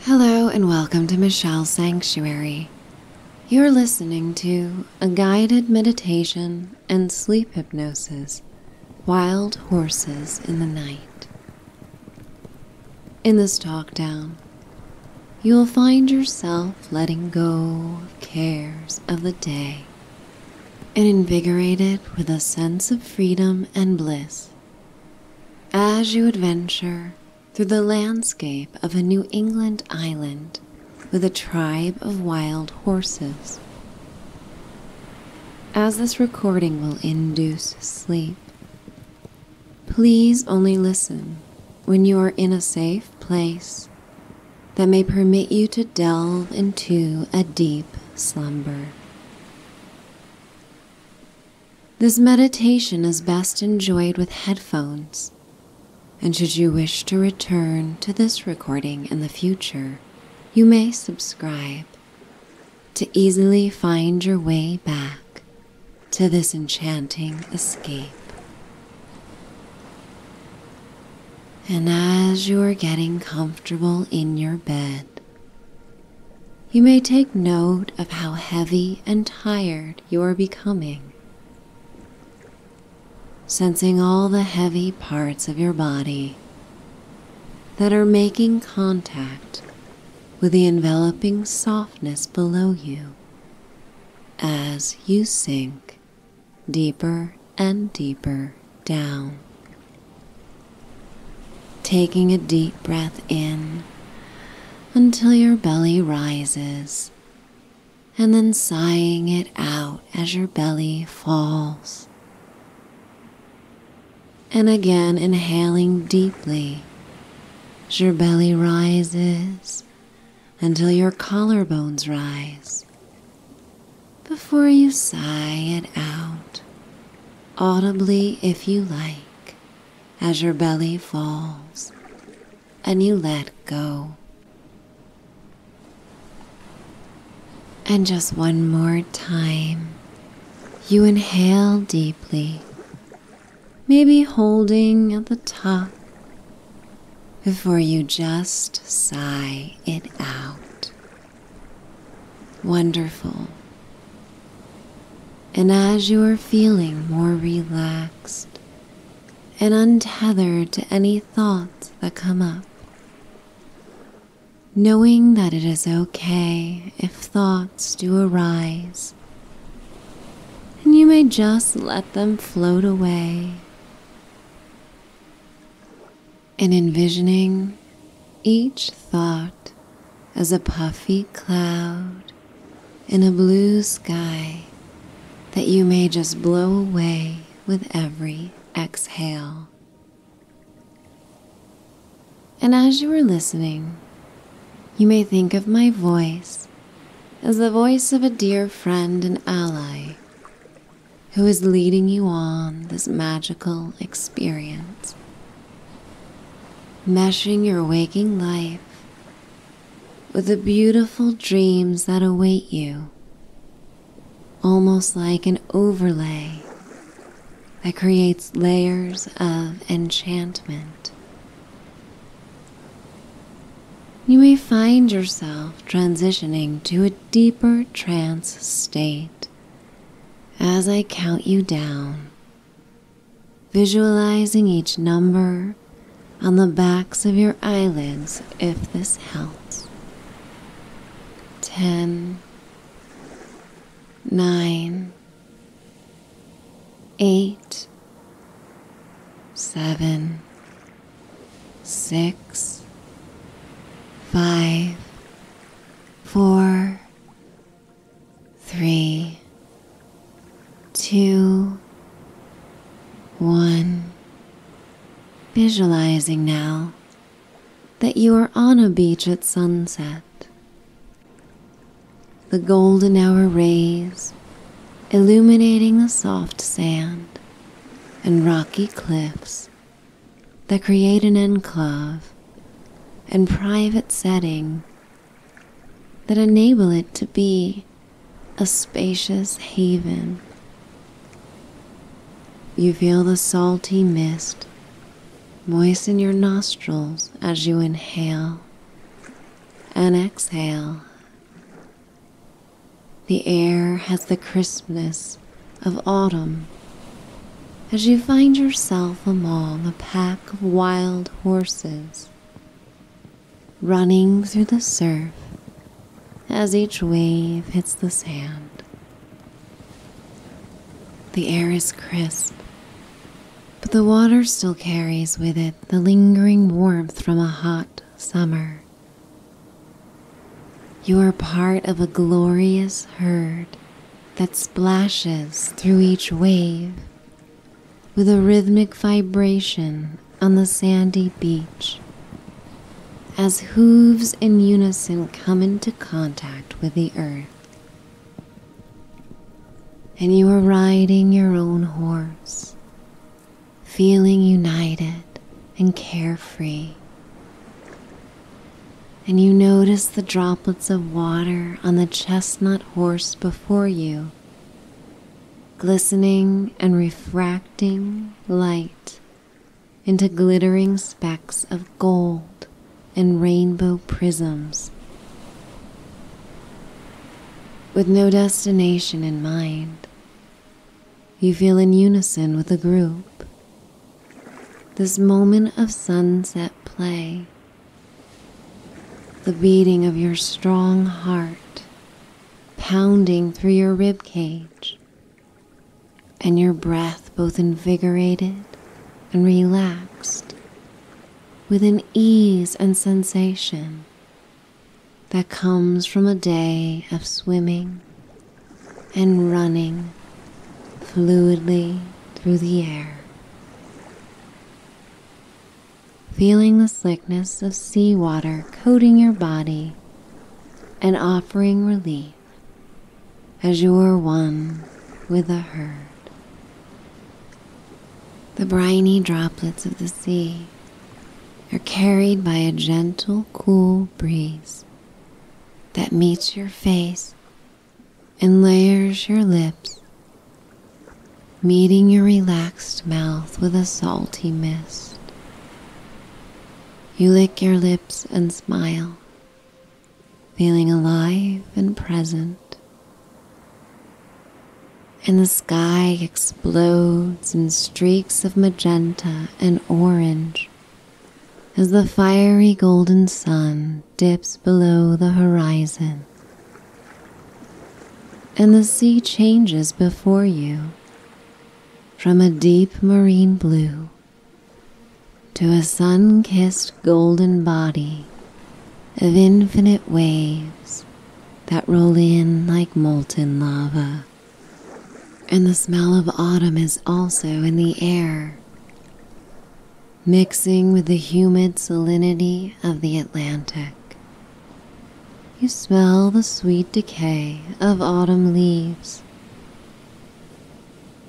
Hello and welcome to Michelle's Sanctuary. You're listening to a guided meditation and sleep hypnosis Wild Horses in the Night. In this talk down, you'll find yourself letting go of cares of the day and invigorated with a sense of freedom and bliss as you adventure through the landscape of a New England island with a tribe of wild horses. As this recording will induce sleep, please only listen when you are in a safe place that may permit you to delve into a deep slumber. This meditation is best enjoyed with headphones, and should you wish to return to this recording in the future, you may subscribe to easily find your way back to this enchanting escape. And as you are getting comfortable in your bed, you may take note of how heavy and tired you are becoming, sensing all the heavy parts of your body that are making contact with the enveloping softness below you as you sink deeper and deeper down. Taking a deep breath in until your belly rises, and then sighing it out as your belly falls. And again, inhaling deeply as your belly rises until your collarbones rise before you sigh it out audibly if you like, as your belly falls and you let go. And just one more time, you inhale deeply, maybe holding at the top before you just sigh it out. Wonderful. And as you are feeling more relaxed and untethered to any thoughts that come up, knowing that it is okay if thoughts do arise, and you may just let them float away, and envisioning each thought as a puffy cloud in a blue sky that you may just blow away with every exhale. And as you are listening, you may think of my voice as the voice of a dear friend and ally who is leading you on this magical experience Meshing your waking life with the beautiful dreams that await you, almost like an overlay that creates layers of enchantment. You may find yourself transitioning to a deeper trance state as I count you down Visualizing each number on the backs of your eyelids if this helps. Ten, nine, eight, seven, six, five, four, three, two, one. Visualizing now that you are on a beach at sunset. The golden hour rays illuminating the soft sand and rocky cliffs that create an enclave and private setting that enable it to be a spacious haven. You feel the salty mist moisten your nostrils as you inhale and exhale. The air has the crispness of autumn as you find yourself among a pack of wild horses running through the surf as each wave hits the sand. The air is crisp, but the water still carries with it the lingering warmth from a hot summer. You are part of a glorious herd that splashes through each wave with a rhythmic vibration on the sandy beach as hooves in unison come into contact with the earth. And you are riding your own horse, feeling united and carefree and you notice the droplets of water on the chestnut horse before you, glistening and refracting light into glittering specks of gold and rainbow prisms. With no destination in mind, you feel in unison with the group. This moment of sunset play the beating of your strong heart pounding through your rib cage, and your breath both invigorated and relaxed with an ease and sensation that comes from a day of swimming and running fluidly through the air. Feeling the slickness of seawater coating your body and offering relief as you are one with the herd. The briny droplets of the sea are carried by a gentle, cool breeze that meets your face and layers your lips, meeting your relaxed mouth with a salty mist. You lick your lips and smile, feeling alive and present. And the sky explodes in streaks of magenta and orange as the fiery golden sun dips below the horizon, and the sea changes before you from a deep marine blue to a sun kissed golden body of infinite waves that roll in like molten lava. And the smell of autumn is also in the air mixing with the humid salinity of the Atlantic. You smell the sweet decay of autumn leaves.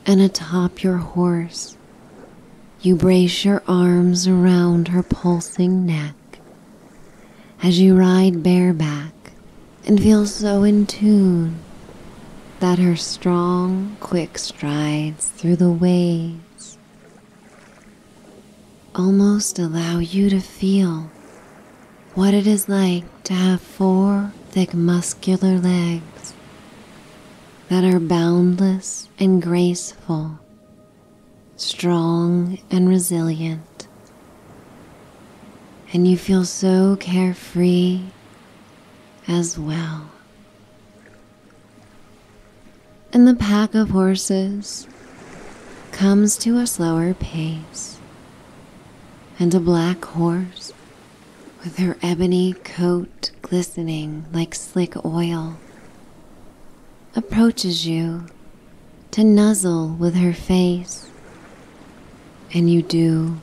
And atop your horse, you brace your arms around her pulsing neck as you ride bareback and feel so in tune that her strong, quick strides through the waves almost allow you to feel what it is like to have four thick, muscular legs that are boundless and graceful, strong and resilient. And you feel so carefree as well and the pack of horses comes to a slower pace, and a black horse, with her ebony coat glistening like slick oil, approaches you to nuzzle with her face, and you do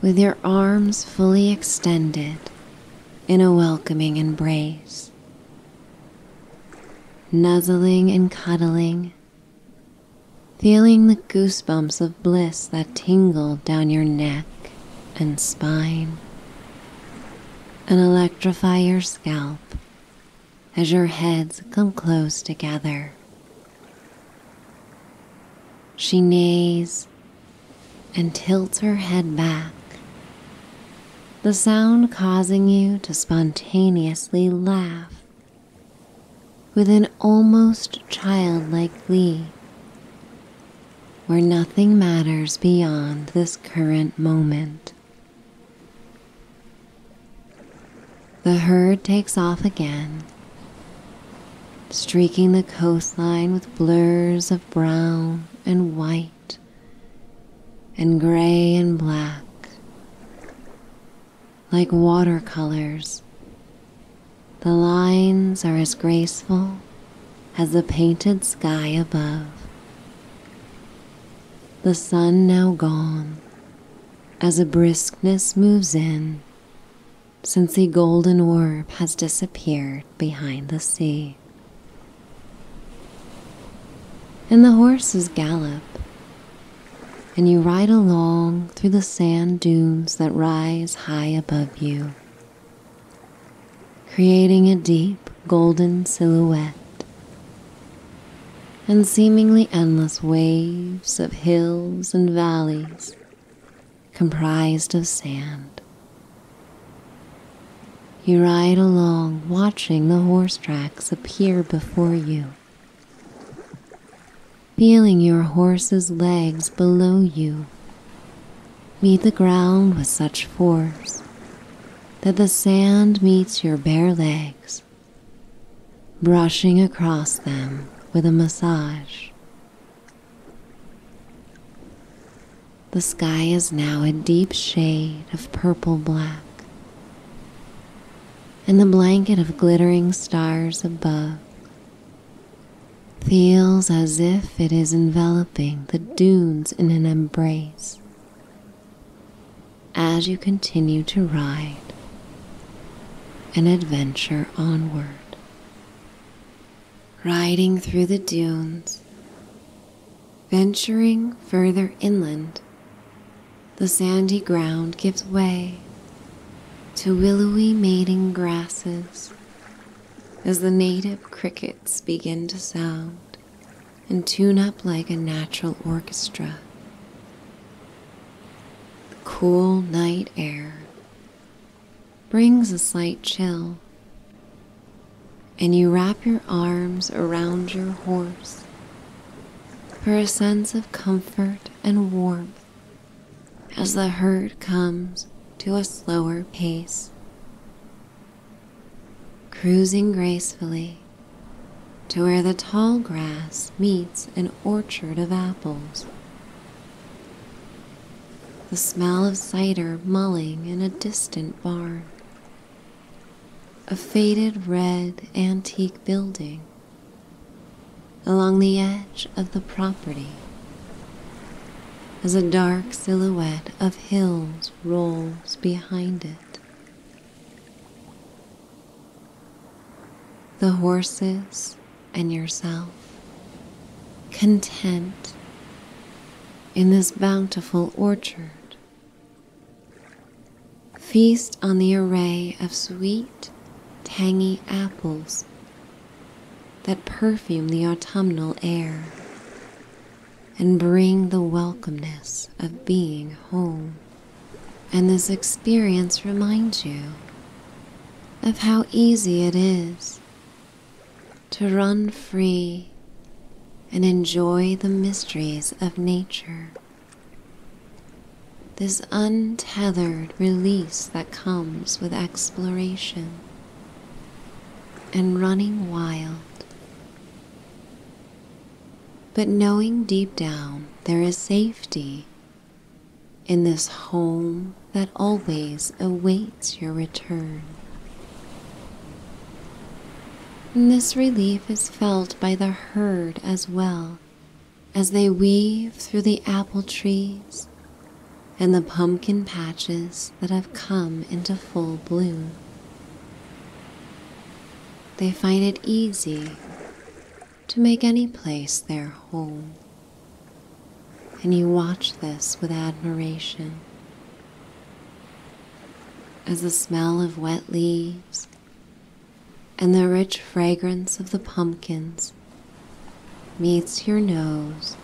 with your arms fully extended in a welcoming embrace, nuzzling and cuddling, feeling the goosebumps of bliss that tingle down your neck and spine and electrify your scalp as your heads come close together. She neighs and tilts her head back, the sound causing you to spontaneously laugh with an almost childlike glee where nothing matters beyond this current moment. The herd takes off again streaking the coastline with blurs of brown and white and gray and black, like watercolors. The lines are as graceful as the painted sky above. The sun now gone, as a briskness moves in, since the golden orb has disappeared behind the sea. And the horses gallop, and you ride along through the sand dunes that rise high above you, creating a deep golden silhouette and seemingly endless waves of hills and valleys comprised of sand. You ride along, watching the horse tracks appear before you, feeling your horse's legs below you meet the ground with such force that the sand meets your bare legs, brushing across them with a massage the sky is now a deep shade of purple black, and the blanket of glittering stars above feels as if it is enveloping the dunes in an embrace as you continue to ride an adventure onward riding through the dunes, venturing further inland. The sandy ground gives way to willowy mating grasses as the native crickets begin to sound and tune up like a natural orchestra. The cool night air brings a slight chill, and you wrap your arms around your horse for a sense of comfort and warmth as the herd comes to a slower pace, cruising gracefully to where the tall grass meets an orchard of apples the smell of cider mulling in a distant barn, a faded red antique building. Along the edge of the property, as a dark silhouette of hills rolls behind it. The horses and yourself content in this bountiful orchard. Feast on the array of sweet, tangy apples that perfume the autumnal air and bring the welcomeness of being home. And this experience reminds you of how easy it is to run free and enjoy the mysteries of nature. This untethered release that comes with exploration and running wild. But knowing deep down there is safety in this home that always awaits your return. And this relief is felt by the herd as well as they weave through the apple trees and the pumpkin patches that have come into full bloom. They find it easy to make any place their home and you watch this with admiration. As the smell of wet leaves and the rich fragrance of the pumpkins meets your nose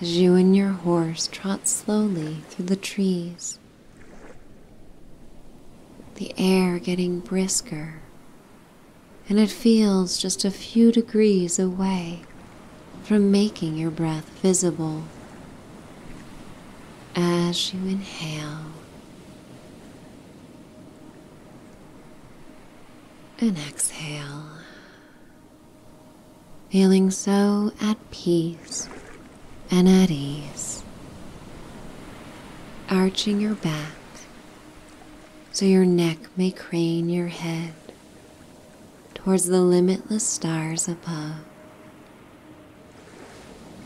as you and your horse trot slowly through the trees, the air getting brisker, and it feels just a few degrees away from making your breath visible. As you inhale and exhale, feeling so at peace and at ease, arching your back so your neck may crane your head towards the limitless stars above.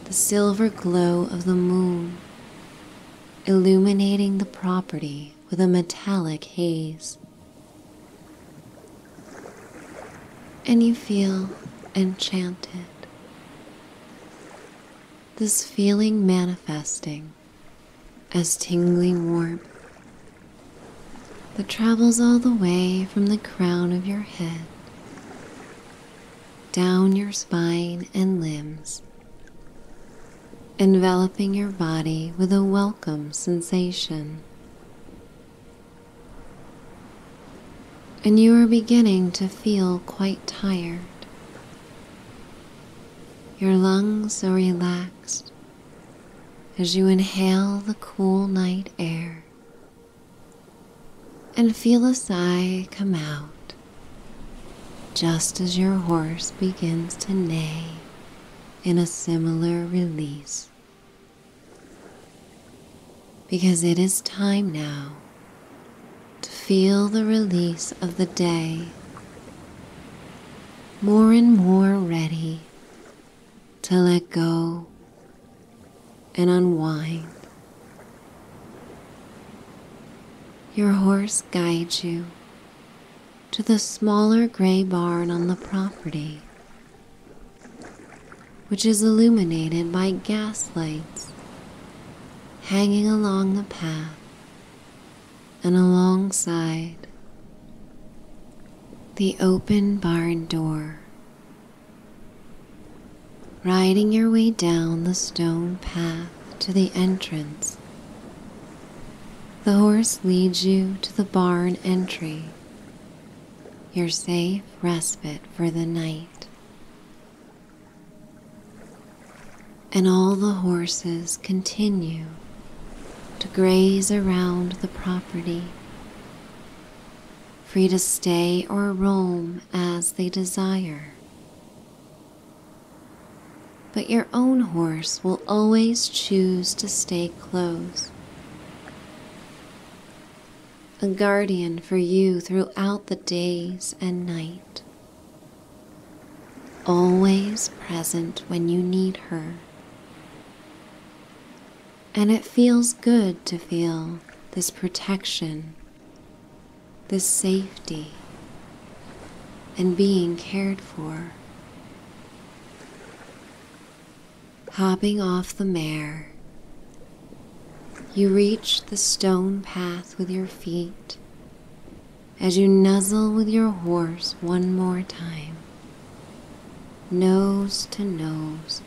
The silver glow of the moon illuminating the property with a metallic haze. And you feel enchanted. This feeling manifesting as tingling warmth that travels all the way from the crown of your head down your spine and limbs, enveloping your body with a welcome sensation. And you are beginning to feel quite tired. Your lungs are relaxed as you inhale the cool night air and feel a sigh come out just as your horse begins to neigh in a similar release. Because it is time now to feel the release of the day more and more ready to let go and unwind. Your horse guides you to the smaller gray barn on the property, which is illuminated by gas lights hanging along the path and alongside the open barn door. Riding your way down the stone path to the entrance, the horse leads you to the barn entry, your safe respite for the night. And all the horses continue to graze around the property, free to stay or roam as they desire. But your own horse will always choose to stay close. A guardian for you throughout the days and night, always present when you need her and it feels good to feel this protection, this safety, and being cared for. Hopping off the mare, you reach the stone path with your feet as you nuzzle with your horse one more time nose to nose,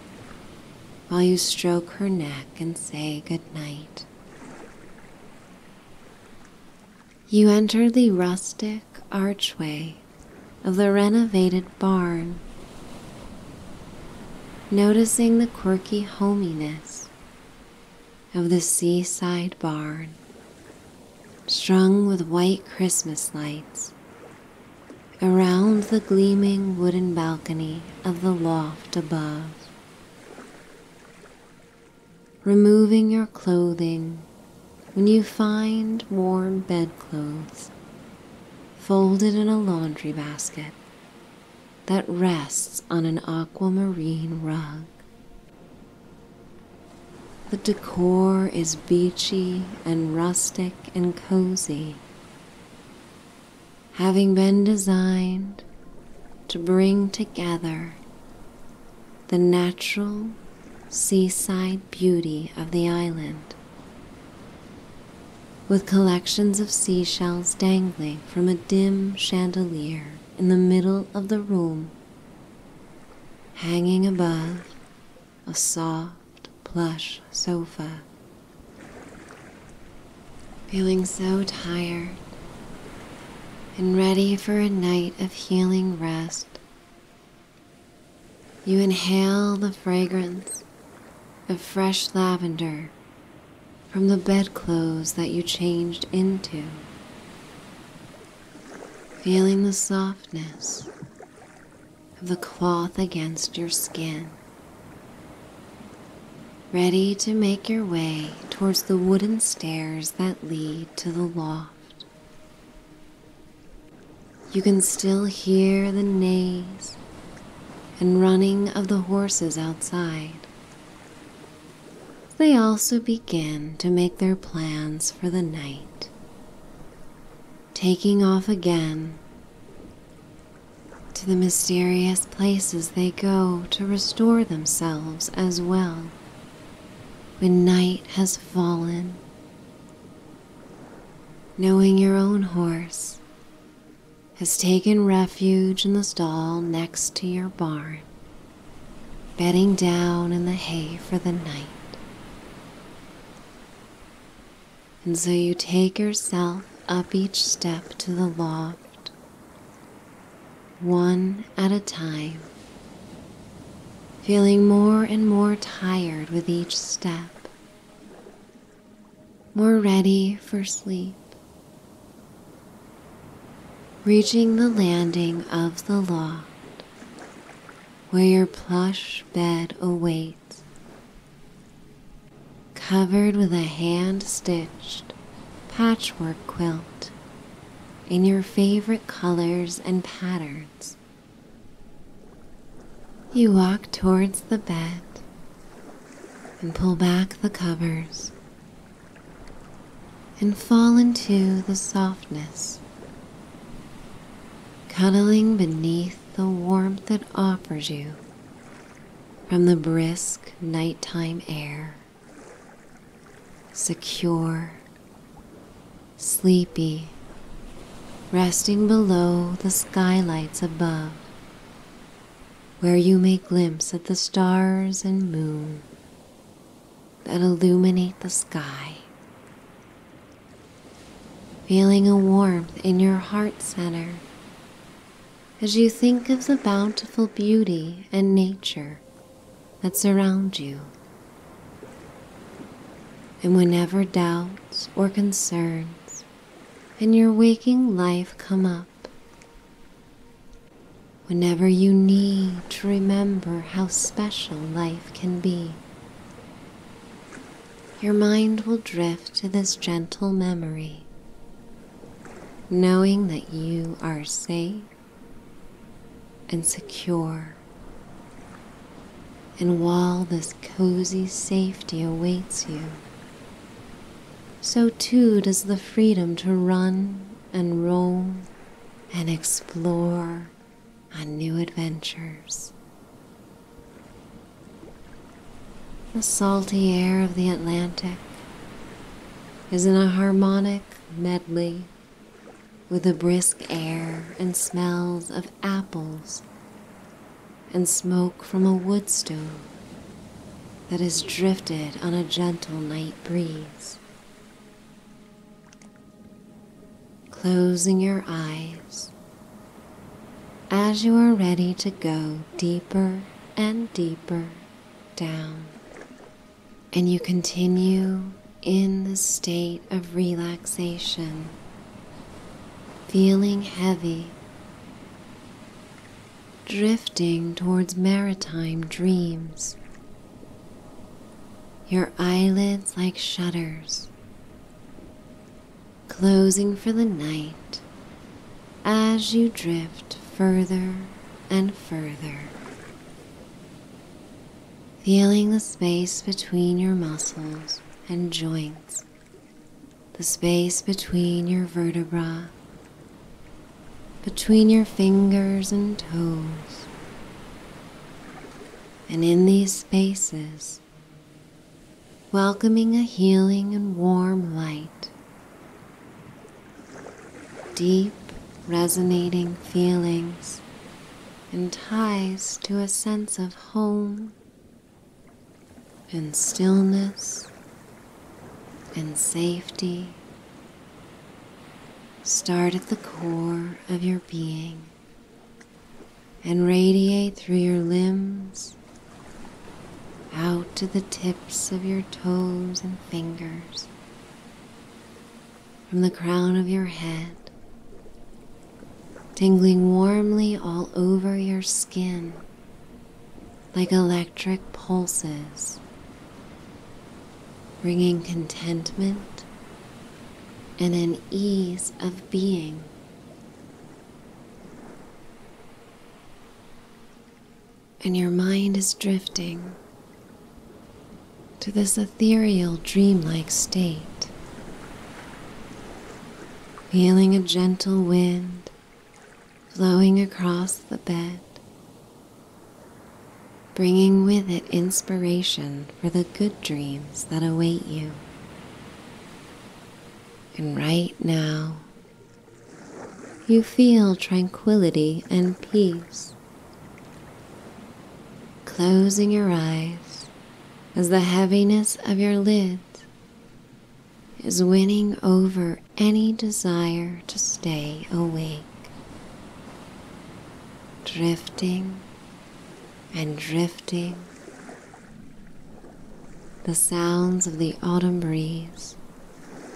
while you stroke her neck and say goodnight. You enter the rustic archway of the renovated barn, noticing the quirky hominess of the seaside barn strung with white Christmas lights, around the gleaming wooden balcony of the loft above. Removing your clothing when you find warm bedclothes folded in a laundry basket that rests on an aquamarine rug. The decor is beachy and rustic and cozy, having been designed to bring together the natural seaside beauty of the island with collections of seashells dangling from a dim chandelier in the middle of the room, hanging above a soft, plush sofa. Feeling so tired and ready for a night of healing rest. You inhale the fragrance of fresh lavender from the bedclothes that you changed into, feeling the softness of the cloth against your skin. Ready to make your way towards the wooden stairs that lead to the loft. You can still hear the neighs and running of the horses outside. They also begin to make their plans for the night taking off again to the mysterious places they go to restore themselves as well when night has fallen. Knowing your own horse has taken refuge in the stall next to your barn, bedding down in the hay for the night. And so you take yourself up each step to the loft, one at a time, feeling more and more tired with each step, more ready for sleep. Reaching the landing of the loft, where your plush bed awaits, covered with a hand stitched patchwork quilt in your favorite colors and patterns. You walk towards the bed and pull back the covers and fall into the softness cuddling beneath the warmth it offers you from the brisk nighttime air, secure, sleepy, resting below the skylights above, where you may glimpse at the stars and moon that illuminate the sky feeling a warmth in your heart center as you think of the bountiful beauty and nature that surround you. And whenever doubts or concerns in your waking life come up, whenever you need to remember how special life can be, your mind will drift to this gentle memory, knowing that you are safe and secure. And while this cozy safety awaits you, so too does the freedom to run and roam and explore on new adventures. The salty air of the Atlantic is in a harmonic medley with the brisk air and smells of apples and smoke from a wood stove that has drifted on a gentle night breeze closing your eyes as you are ready to go deeper and deeper down. And you continue in the state of relaxation, feeling heavy, drifting towards maritime dreams. Your eyelids like shutters closing for the night as you drift further and further, feeling the space between your muscles and joints, the space between your vertebra, between your fingers and toes. And in these spaces, welcoming a healing and warm light. Deep, resonating feelings and ties to a sense of home and stillness and safety start at the core of your being and radiate through your limbs out to the tips of your toes and fingers, from the crown of your head, tingling warmly all over your skin like electric pulses, bringing contentment and an ease of being. And your mind is drifting to this ethereal, dreamlike state, feeling a gentle wind flowing across the bed, bringing with it inspiration for the good dreams that await you. And right now, you feel tranquility and peace. Closing your eyes as the heaviness of your lids is winning over any desire to stay awake, drifting and drifting. The sounds of the autumn breeze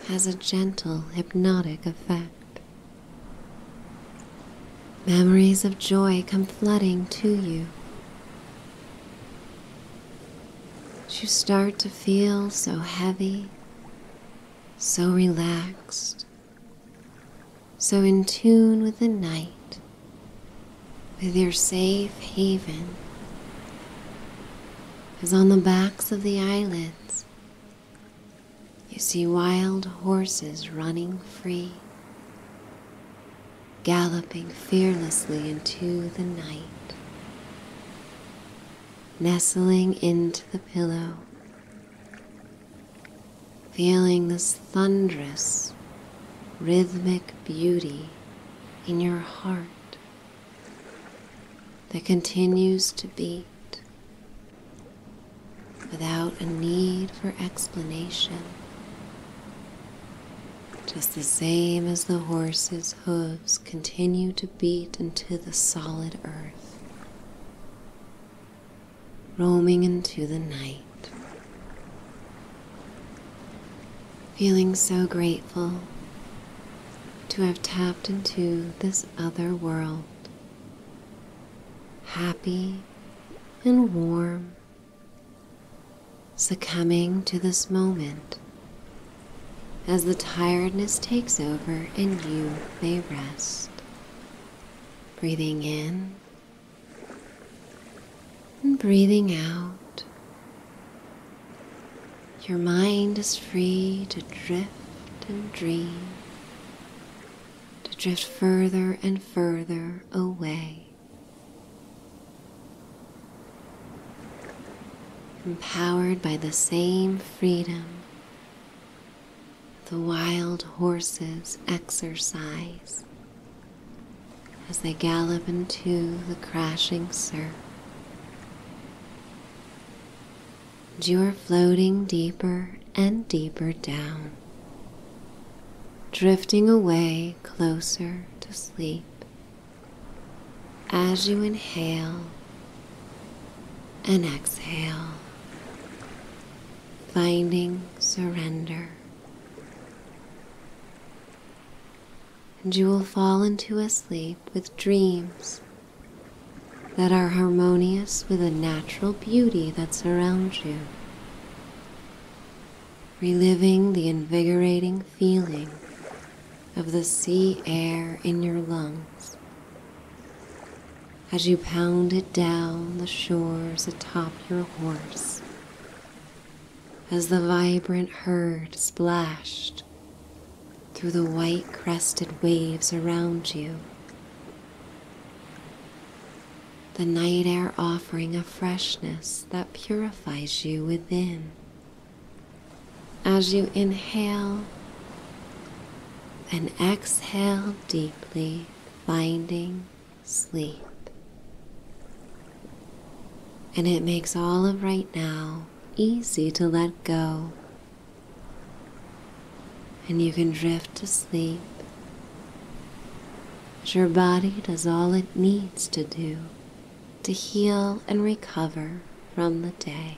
has a gentle hypnotic effect. Memories of joy come flooding to you. You start to feel so heavy, so relaxed, so in tune with the night, with your safe haven, as on the backs of the eyelids you see wild horses running free, galloping fearlessly into the night. Nestling into the pillow, feeling this thunderous, rhythmic beauty in your heart that continues to beat without a need for explanation. Just the same as the horse's hooves continue to beat into the solid earth roaming into the night. Feeling so grateful to have tapped into this other world, happy and warm, succumbing to this moment as the tiredness takes over and you may rest. Breathing in and breathing out, your mind is free to drift and dream, to drift further and further away. Empowered by the same freedom the wild horses exercise as they gallop into the crashing surf. And you are floating deeper and deeper down, drifting away closer to sleep. As you inhale and exhale, finding surrender. And you will fall into a sleep with dreams that are harmonious with the natural beauty that surrounds you, reliving the invigorating feeling of the sea air in your lungs as you pound it down the shores atop your horse as the vibrant herd splashed through the white crested waves around you. The night air offering a freshness that purifies you within. As you inhale and exhale deeply, finding sleep. And it makes all of right now easy to let go. And you can drift to sleep. As your body does all it needs to do to heal and recover from the day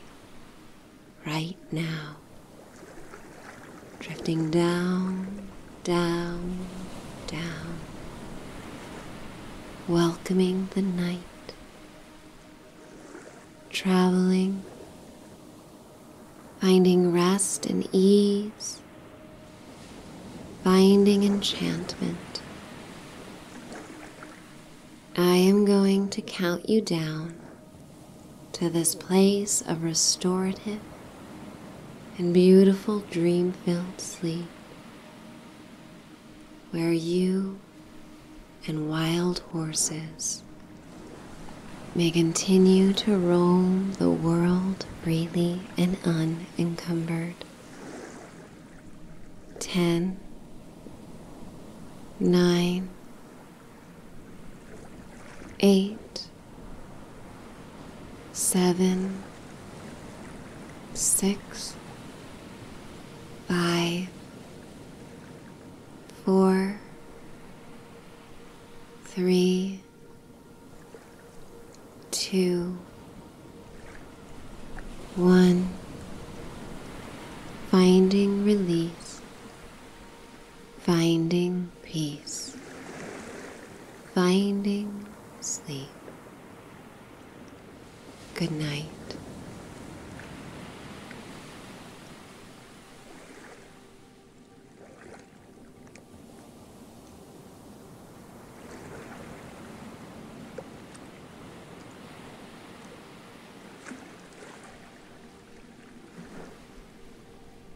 right now drifting down, down, down, welcoming the night, traveling, finding rest and ease, finding enchantment. I am going to count you down to this place of restorative in beautiful dream filled sleep where you and wild horses may continue to roam the world freely and unencumbered. Ten, nine, eight, seven, six, five, four, three, two, one, finding release, finding peace, finding sleep. Good night.